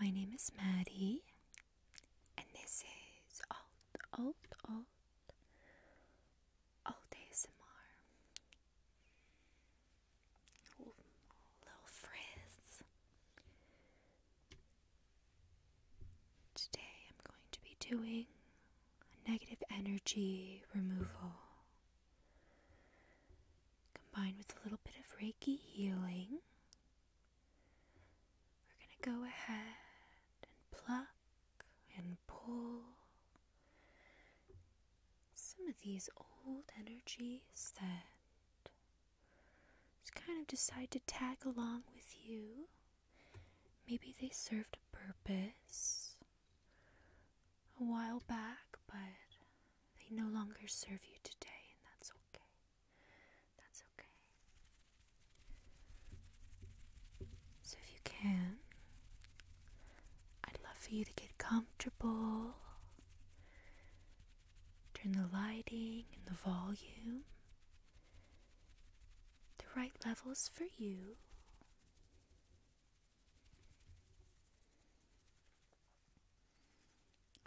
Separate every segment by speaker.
Speaker 1: My name is Maddie, and this is Alt, Alt, Alt, Alt ASMR. Ooh, little frizz. Today I'm going to be doing negative energy removal combined with a little bit of Reiki healing, we're going to go ahead and pluck and pull some of these old energies that just kind of decide to tag along with you. Maybe they served a purpose a while back, but they no longer serve you today, and that's okay. That's okay. So, if you can, I'd love for you to get comfortable. Turn the lighting and the volume the right levels for you.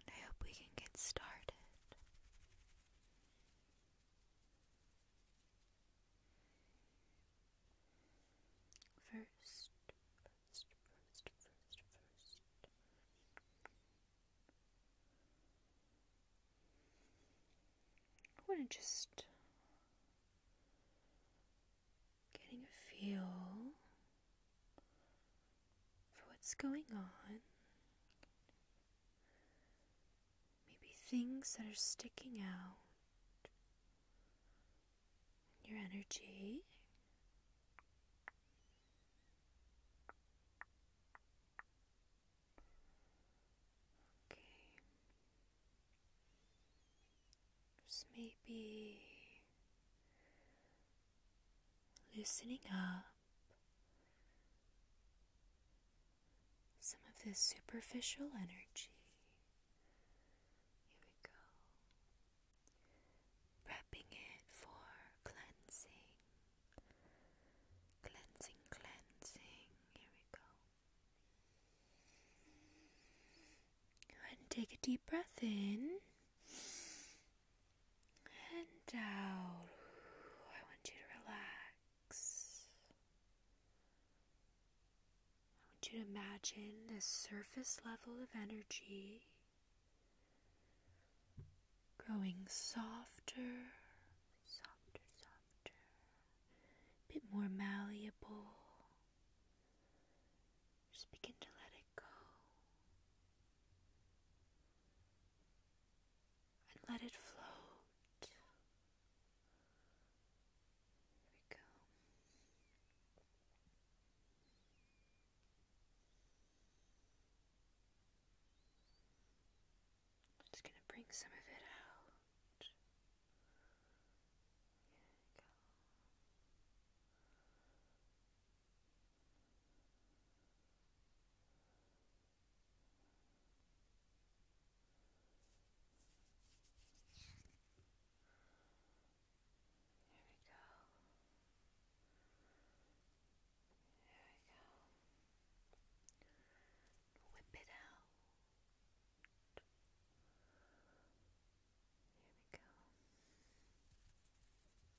Speaker 1: I hope we can get started. First, first, first, first, first. I want to just getting a feel for what's going on. Maybe things that are sticking out in your energy. Okay. There's maybe loosening up some of this superficial energy. Here we go. Prepping it for cleansing. Cleansing, cleansing. Here we go. And take a deep breath in and out. I want you to relax. I want you to imagine a surface level of energy growing softer, softer, softer, bit more malleable, just begin to let it go. And let it float. There we go. just going to bring some of it out. There we go. Here we go. There we go. Whip it out. Here we go.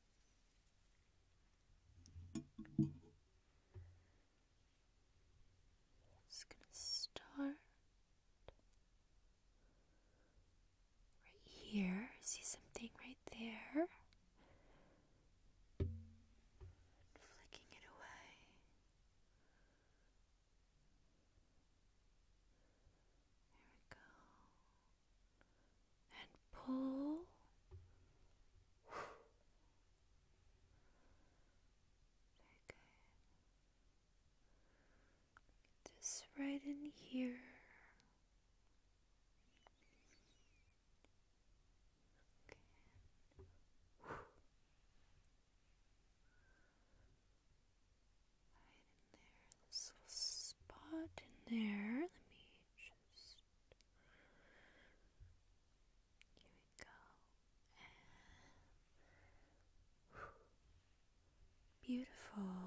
Speaker 1: It's going to start right here. See something right there? flicking it away. There we go and pull. Very Just right in here. Okay. Right there, this little spot in there. Let me just. Here we go. beautiful.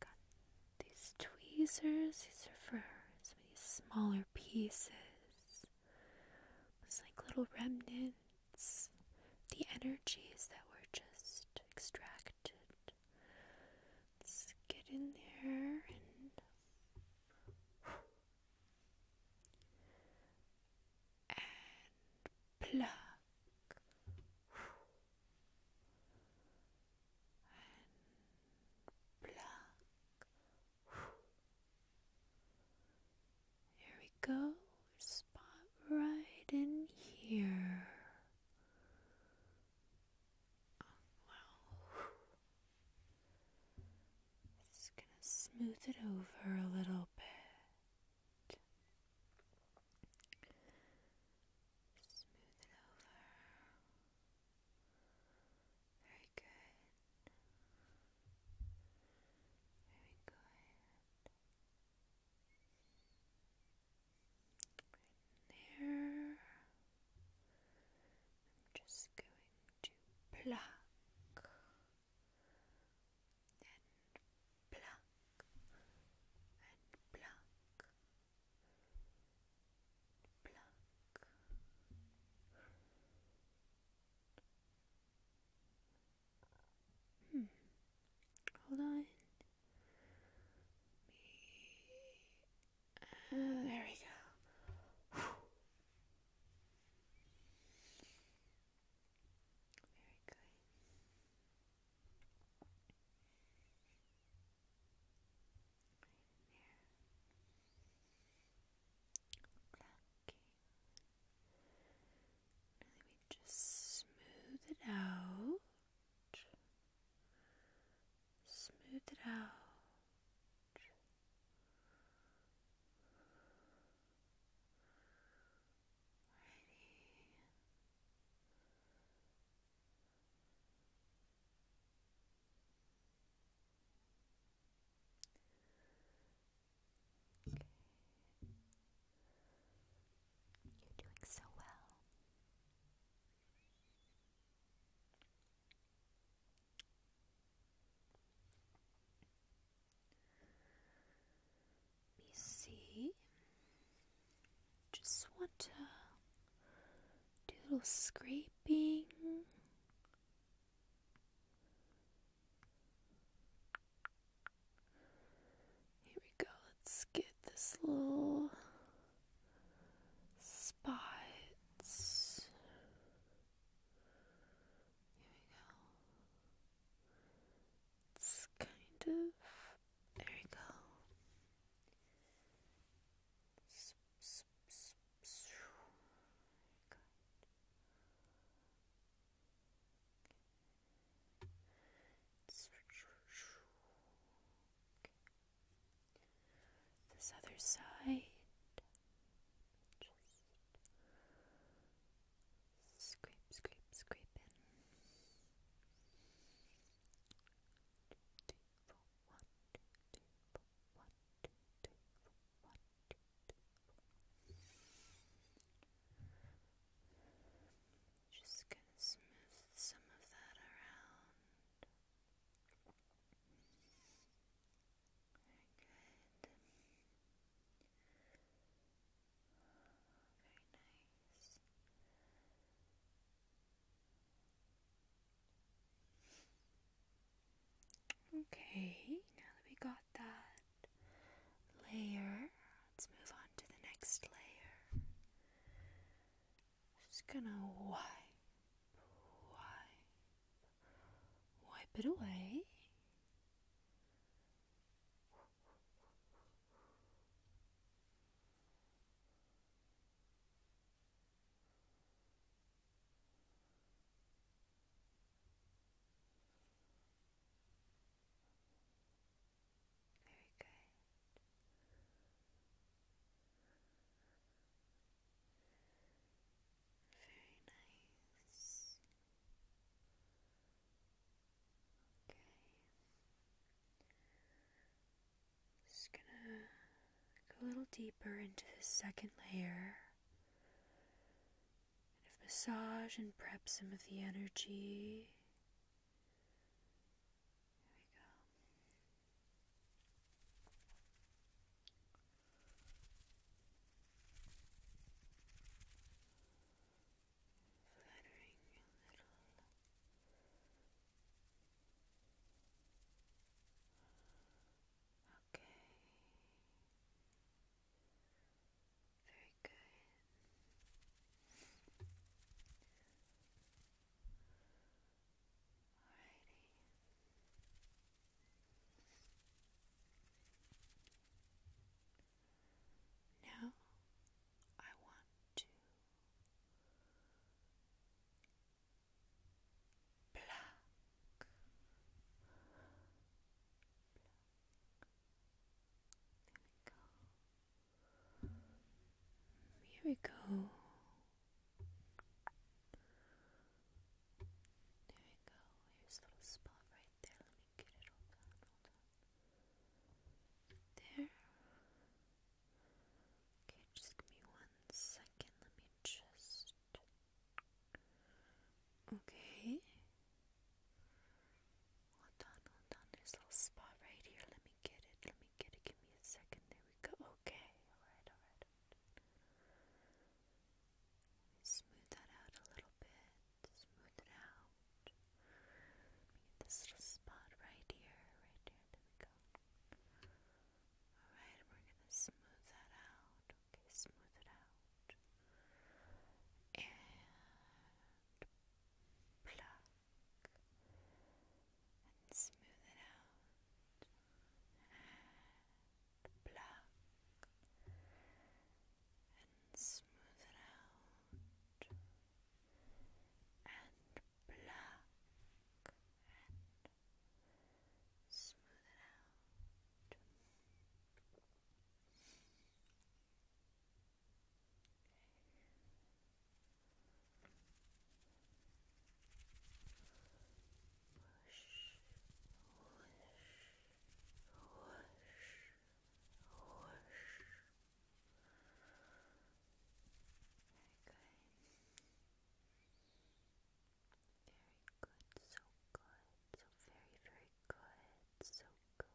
Speaker 1: Got these tweezers, these are for some of these smaller pieces. It's like little remnants, the energies that were just extracted let's get in there and plug, and pluck. Here we go. Spot right in here just gonna smooth it over a little bit. Smooth it over. Very good. Very good there. I'm just going to pluck and pluck and pluck pluck. Hmm. Hold on. there we go. Very good. Right there. Okay. let me just smooth it out. Smooth it out. Ready. You're doing so well. Let me see. Just want to do a little scraping. Here we go. Let's get this little spot. Here we go. It's kind of there we go. This other side, just scrape, scrape, scrape just going to smooth some of that around. Very good. Very nice. Okay, now that we got that layer, let's move on to the next layer just gonna wipe, wipe, wipe it away. Very good. Very nice. Okay. Just gonna go a little deeper into the second layer. and massage and prep some of the energy. Here we go. Fluttering your little Okay. Very good. Alrighty. Now I want to pluck, there we go here we go. There we go. Here's a little spot right there. Let me get it. Hold on, hold on. There. Okay, just give me one second. Let me just. Okay. Hold on, hold on. There's a little spot right here. Let me get it, let me get it, give me a second, there we go, okay, alright, alright, smooth that out a little bit, smooth it out, this little spot right here, right here, there we go, alright, we're gonna smooth that out, okay, smooth it out, and pluck, and smooth it out. And pluck and smooth it out. And pluck and smooth it out. Whoosh, whoosh, whoosh, whoosh. Very Very good, so good, so very, very good, so good.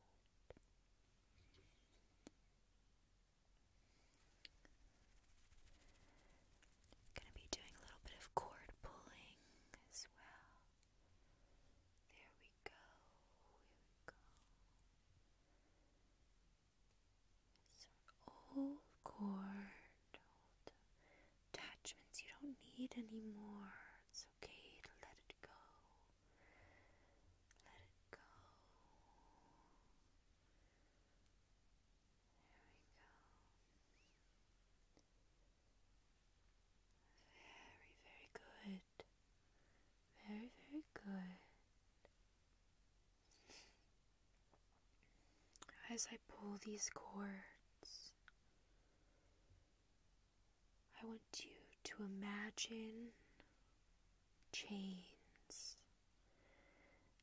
Speaker 1: Gonna be doing a little bit of cord pulling as well. There we go. Here old cord, attachments you don't need anymore. It's okay to let it go. Let it go. Very, very good. Very, very good. As I pull these cords, I want you to imagine chains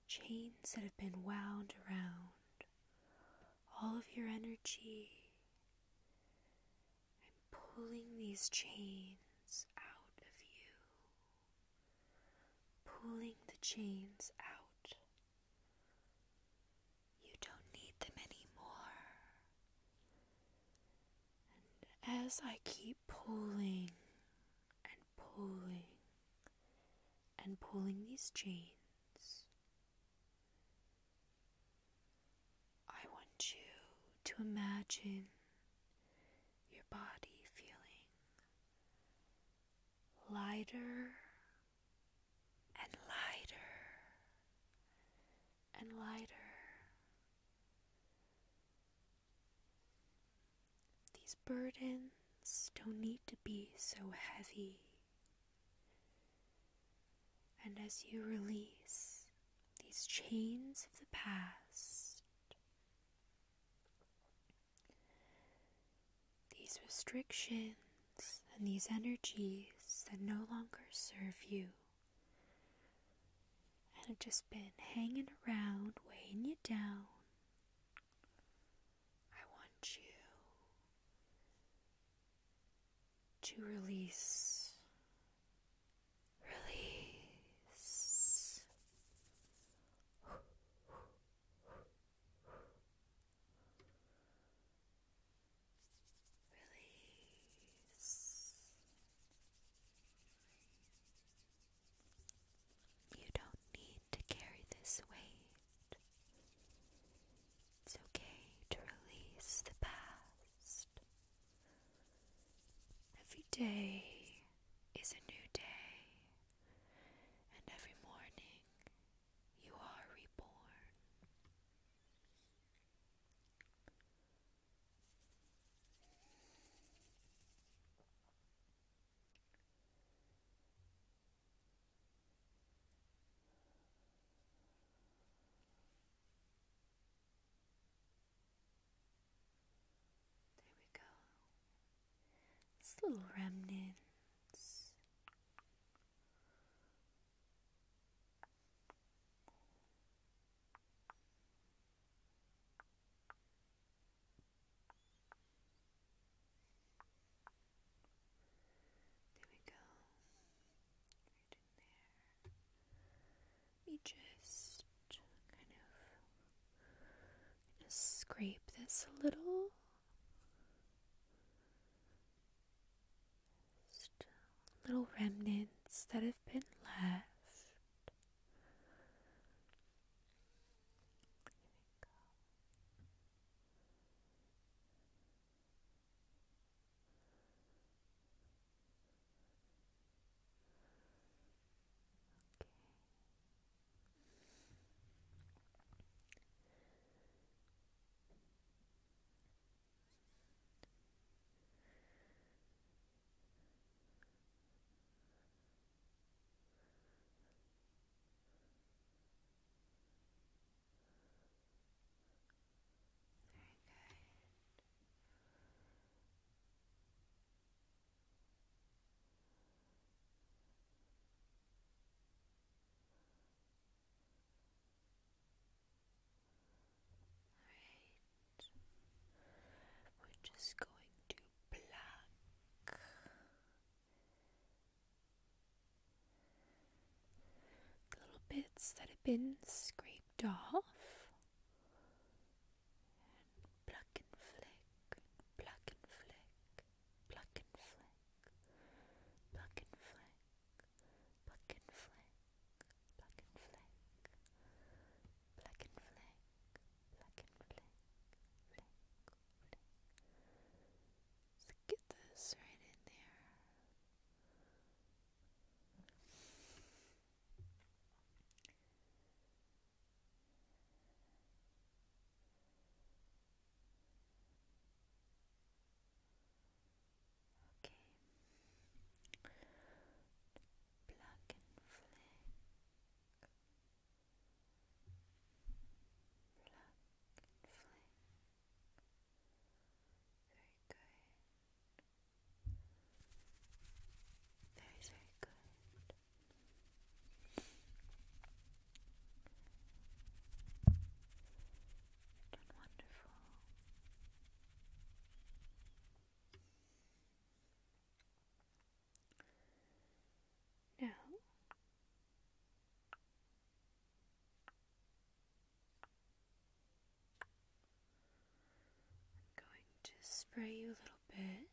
Speaker 1: chains that have been wound around all of your energy. I'm pulling these chains out of you, pulling the chains out. You don't need them anymore. And as I keep pulling, and pulling and pulling these chains. I want you to imagine your body feeling lighter and lighter and lighter these burdens don't need to be so heavy. And as you release these chains of the past, these restrictions and these energies that no longer serve you and have just been hanging around, weighing you down, I want you to release, release. Release. You don't need to carry this weight. It's okay to release the past. Every day is a new day, and every morning you are reborn. There we go. It's little remnants. There we go. Right in just kind of scrape this a little. little remnants that have been left. Here we Okay. All right. We're just going to pluck. little bits that have been scraped off. pluck and flick, pluck and flick, pluck and flick, pluck and flick, pluck and flick, pluck and flick, Black and flick, black and flick, flick, flick. So get this right in there. Okay. Black and flick, Pluck Very good. Very, very good. you done wonderful. Now, I'm going to spray you a little bit.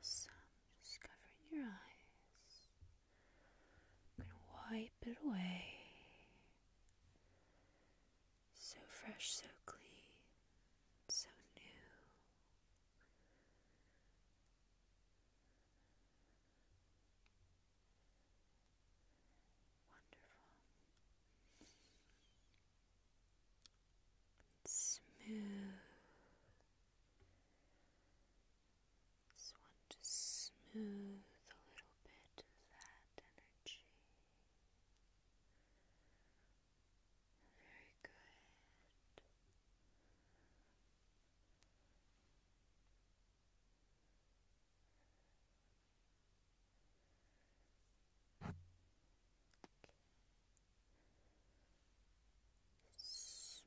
Speaker 1: Awesome. Just covering your eyes. I'm going to wipe it away. So fresh, so clean, so new. Wonderful. Smooth. Just want to smooth a little bit of that energy. Very good. Smooth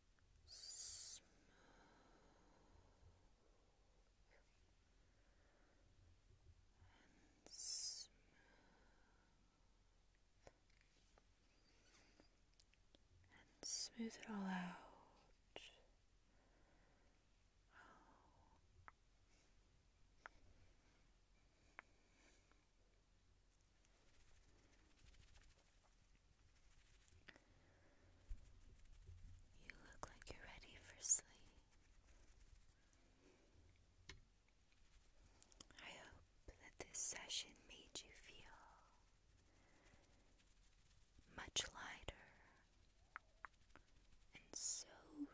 Speaker 1: and smooth. And smooth it all out.
Speaker 2: You look like you're ready for
Speaker 1: sleep. I hope that this session made you feel much lighter and so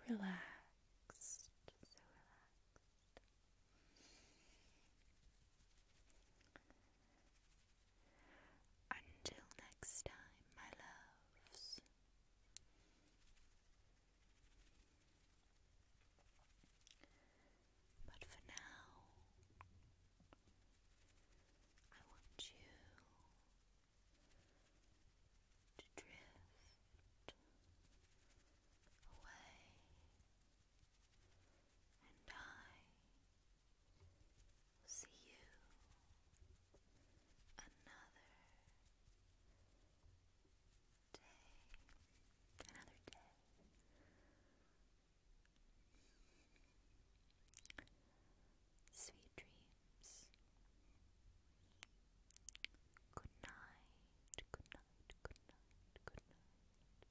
Speaker 1: relaxed. So relaxed. Until next time, my loves. But for now, I want you to drift away, and I see you another day, another day. Sweet dreams. Good night, good night, good night, good night.